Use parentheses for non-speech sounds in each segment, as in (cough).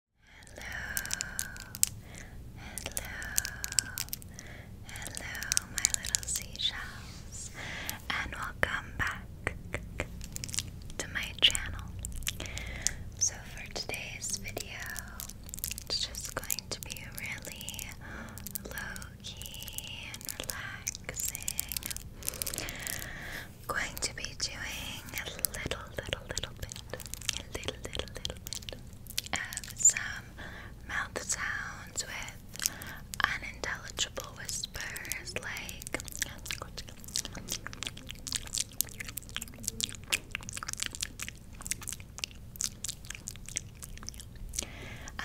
Hello, hello, hello, my little seashells, and welcome back to my channel. So, for today's video, it's just going to be really low key and relaxing. going to be doing a little little, little bit, a little, little, little bit of some mouth sounds with unintelligible whispers like.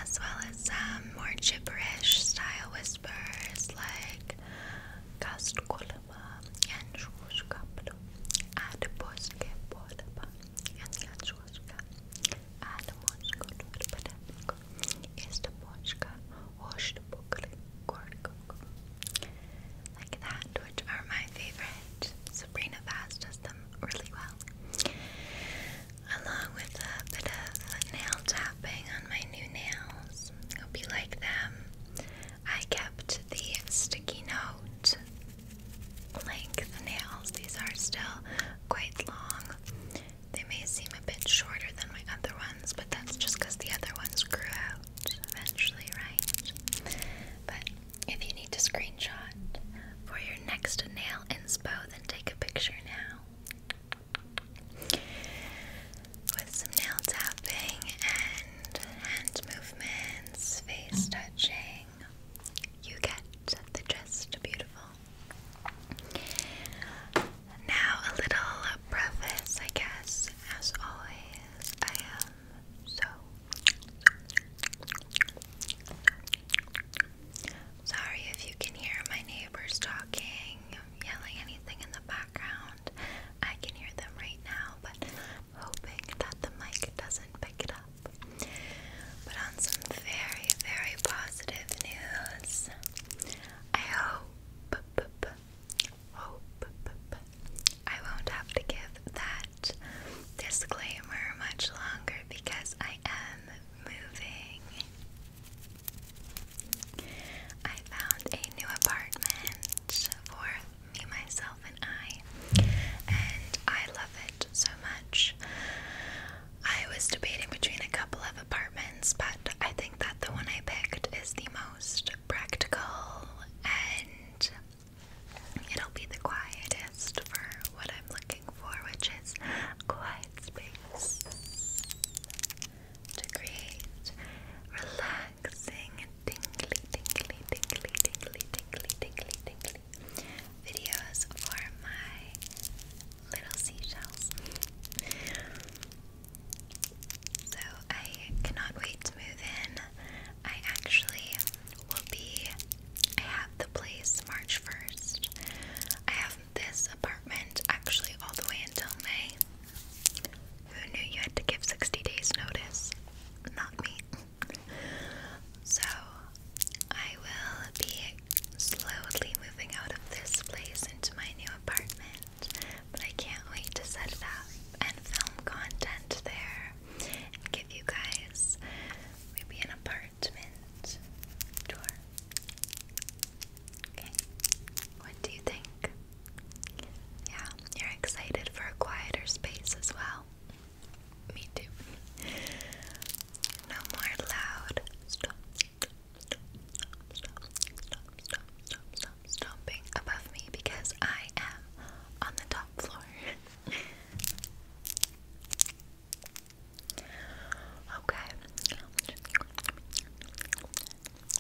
As well as some more gibberish style whispers like Gastkul, ينشوش قبله على بوسكة بولبا ينشوش قبله على موسكة والبلدكو يستبوشكا وشتبوكري كوركوكو like that, which are my favorite. Sabrina Vaz does them really well. Along with a bit of nail tapping on my new nails. Hope you like them. I kept the sticky note length nails. These are still quite long. They may seem a bit shorter than my other ones, but that's just because the other ones grew out eventually, right? But if you need to screenshot for your next nail inspo, then take a picture now with some nail tapping and hand movements, face mm. touching. You get the gist, beautiful. Now, a little preface, I guess. As always, I am so sorry if you can hear my neighbors talking, yelling anything in the background. I can hear them right now, but hoping that the mic doesn't pick it up. But on some very, very positive news, I hope, hope I won't have to give that disclaimer much longer because I am moving. I found a new apartment for me, myself, and I. And I love it so much. I was debating between a couple of apartments, but I think that the one I picked is the most practical and it'll be the quietest for what I'm looking for, which is quiet space to create relax relaxing, tingly, tingly, tingly, tingly, tingly, tingly, tingly videos for my little seashells. So I cannot wait to move in. I actually will be, I have the place March 1st. I have this apartment actually all the way until May. Who knew you had to give 60 days notice? Not me. So, I will be slowly moving out of this place into my new apartment, but I can't wait to set up and film content there and give you guys maybe an apartment tour. Okay, what do you think? Yeah, you're excited for a quieter space as well. Me too. No more loud stop, stop, stop, stop, stop, stop, stop, stomping above me because I am on the top floor. (laughs) okay.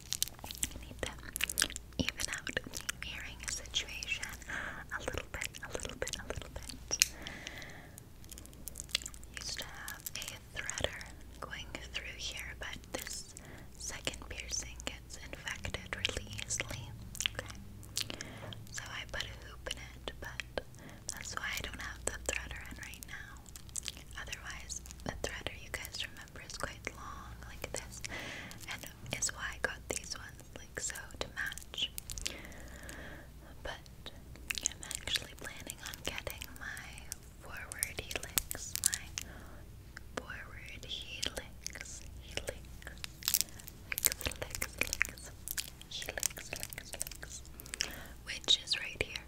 I even out the earring situation a little bit, a little bit, a little bit. Used to have a threader going through here, but this second piercing gets infected really easily. Okay. So I put a hoop in it, but that's why I don't have the threader in right now. Otherwise, the threader, you guys remember is quite long, like this, and is why I got these ones, like so, to match. But I'm actually planning on getting my forward helix, my forward helix, helix, helix, helix, helix, helix, which is right here.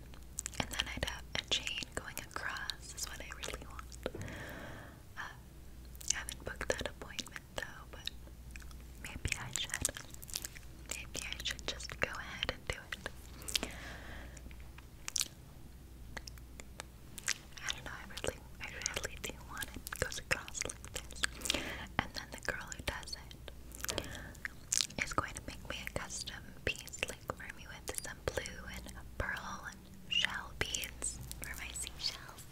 And then I'd have a chain going across is what I really want. Uh, I haven't booked that appointment though, but maybe I should. Maybe I should just go ahead and do it. I don't know, I really, I really do want it. goes across like this. And then the girl who does it is going to make me a custom piece, like for me with some blue and pearl shell beads for my seashells.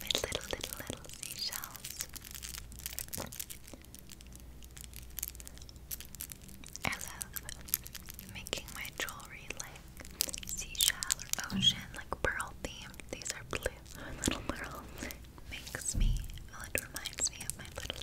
My little, little, little seashells. I love making my jewelry like seashell ocean, like pearl themed. These are blue, (laughs) little pearl. Makes me, reminds me of my little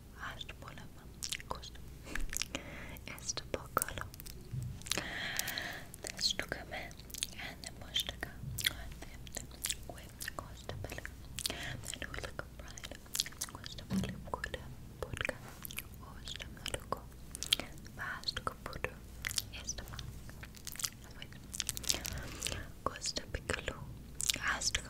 عرض بولفا كوست استبقاله نعشتو كمان عنا مشتكى وعذبت وكوست بلا منو لك برايل كوست بلا بكل بودكا واستمالكو فعشتك بودو استمالك كوست بكلو عشتك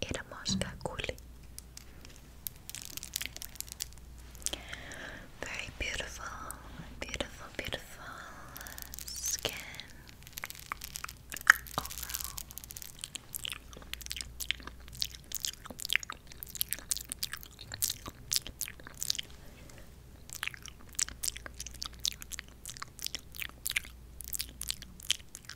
Éramos Gakuli. Very beautiful, beautiful, beautiful skin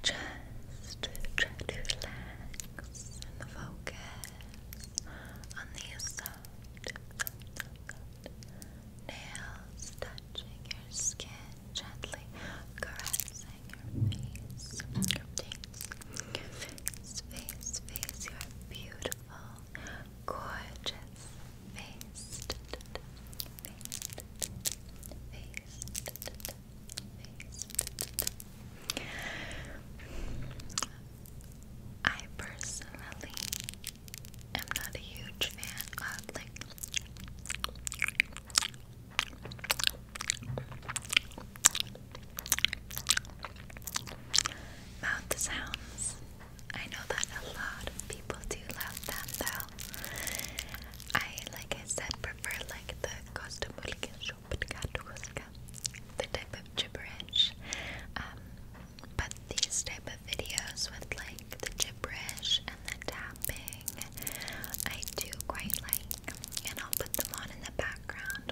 Just try to relax and focus on the soft, nails touching your skin, gently caressing relaxing your face, face, face, face, face, your beautiful, gorgeous face, face, face, face. I personally am not a huge fan of like Mouth sounds. I know that a lot of people do love them though. I, like I said, prefer like the Costa the type of gibberish. Um, but these type of videos with like the gibberish and the tapping, I do quite like. And I'll put them on in the background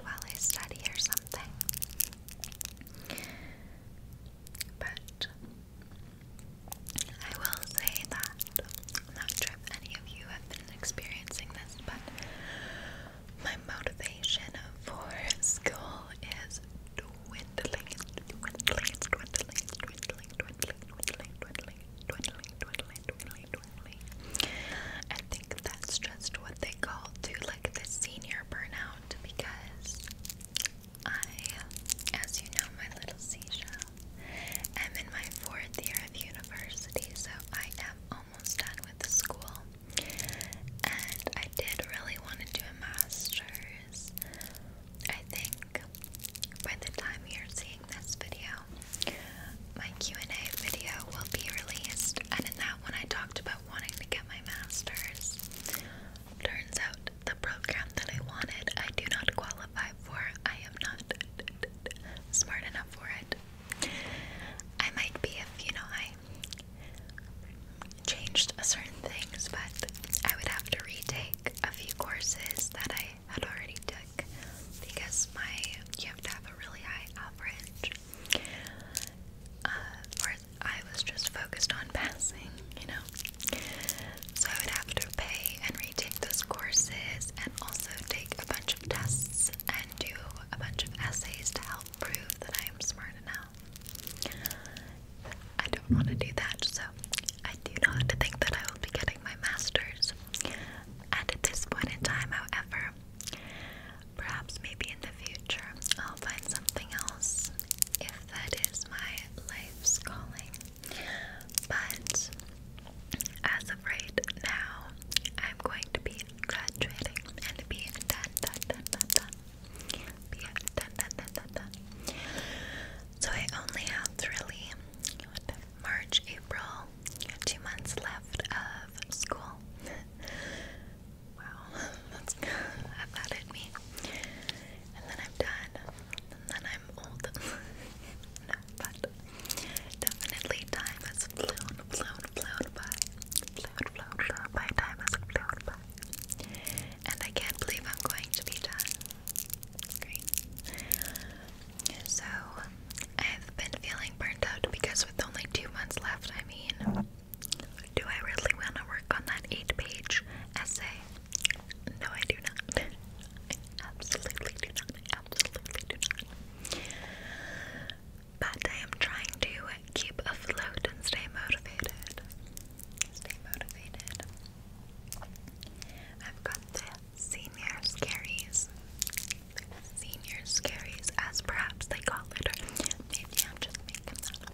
while I study or something. But I will say that not sure if any of you have been experiencing this, but my motivation for school is dwindling, dwindling, dwindling, dwindling, dwindling, dwindling, dwindling, dwindling, dwindling, dwindling, I think that's just what they call to like the senior burnout because I, as you know, my little seashell, am in my fourth year of university, so I am almost done with the school. And I did really want to do a master's. I think by the time you're seeing this video, my Q&A video will be released, and in that one I talked about wanting to get my master's. Turns out the program that I wanted, I do not qualify for. I am not smart enough for it. I might be if, you know, I changed a certain things, but I would have to retake a few courses that I had already took because my you have to have a really high average. Uh, or I was just focused on passing, you know. So I would have to pay and retake those courses and also take a bunch of tests and do a bunch of essays to help prove that I am smart enough. I don't want to do that, so I do not think that I will be getting my master's. At this point in time, however, perhaps maybe in the future, I'll find something else if that is my life's calling. But as of right now, I'm going to be graduating and be done, done, done, done, done. Be done, done, done, done, done. So I only have really March, April, two months left of school. (laughs) wow, (laughs) that's I've that in me. And then I'm done. And then I'm old. (laughs) no, but definitely time has flown, flown, flown by. Flown, flown, flown by. Time has flown by. And I can't believe I'm going to be done. So, I've been feeling burnt out because with only two months left, I mean, do I really want to work on that eight page essay? No, I do not. absolutely do not. absolutely do not. But I am trying to keep afloat and stay motivated. Stay motivated. I've got this. Seniors' Scaries. Senior Scaries, as perhaps they call it. maybe I'm just making that up,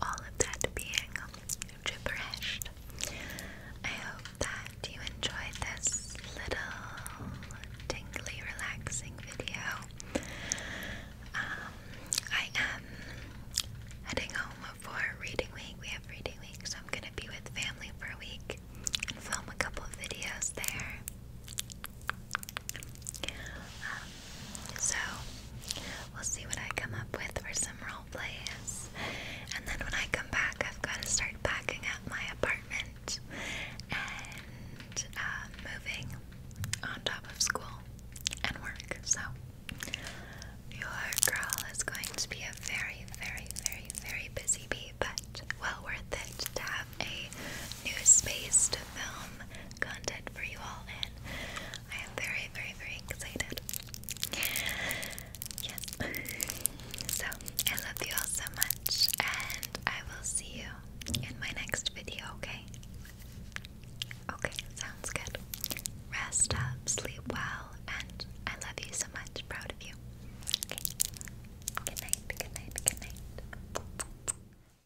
all of that being gibberished. I hope that you enjoyed this little tingly, relaxing video. Um, I am heading home for reading week. We have reading week, so I'm gonna be with family for a week and film a couple of videos there. Um, so we'll see what I come up with for some role plays, and then when I come back, I've got to start packing up my apartment and uh, moving on top of school and work. So your girl is going to be a very, very, very, very busy bee, but well worth it to have a new space to film content for you all in. I am very, very, very excited. Yes. (laughs) So, I love you all so much, and I will see you in my next video, okay? Okay, sounds good. Rest up, sleep well, and I love you so much. Proud of you. Good night, good night, good night.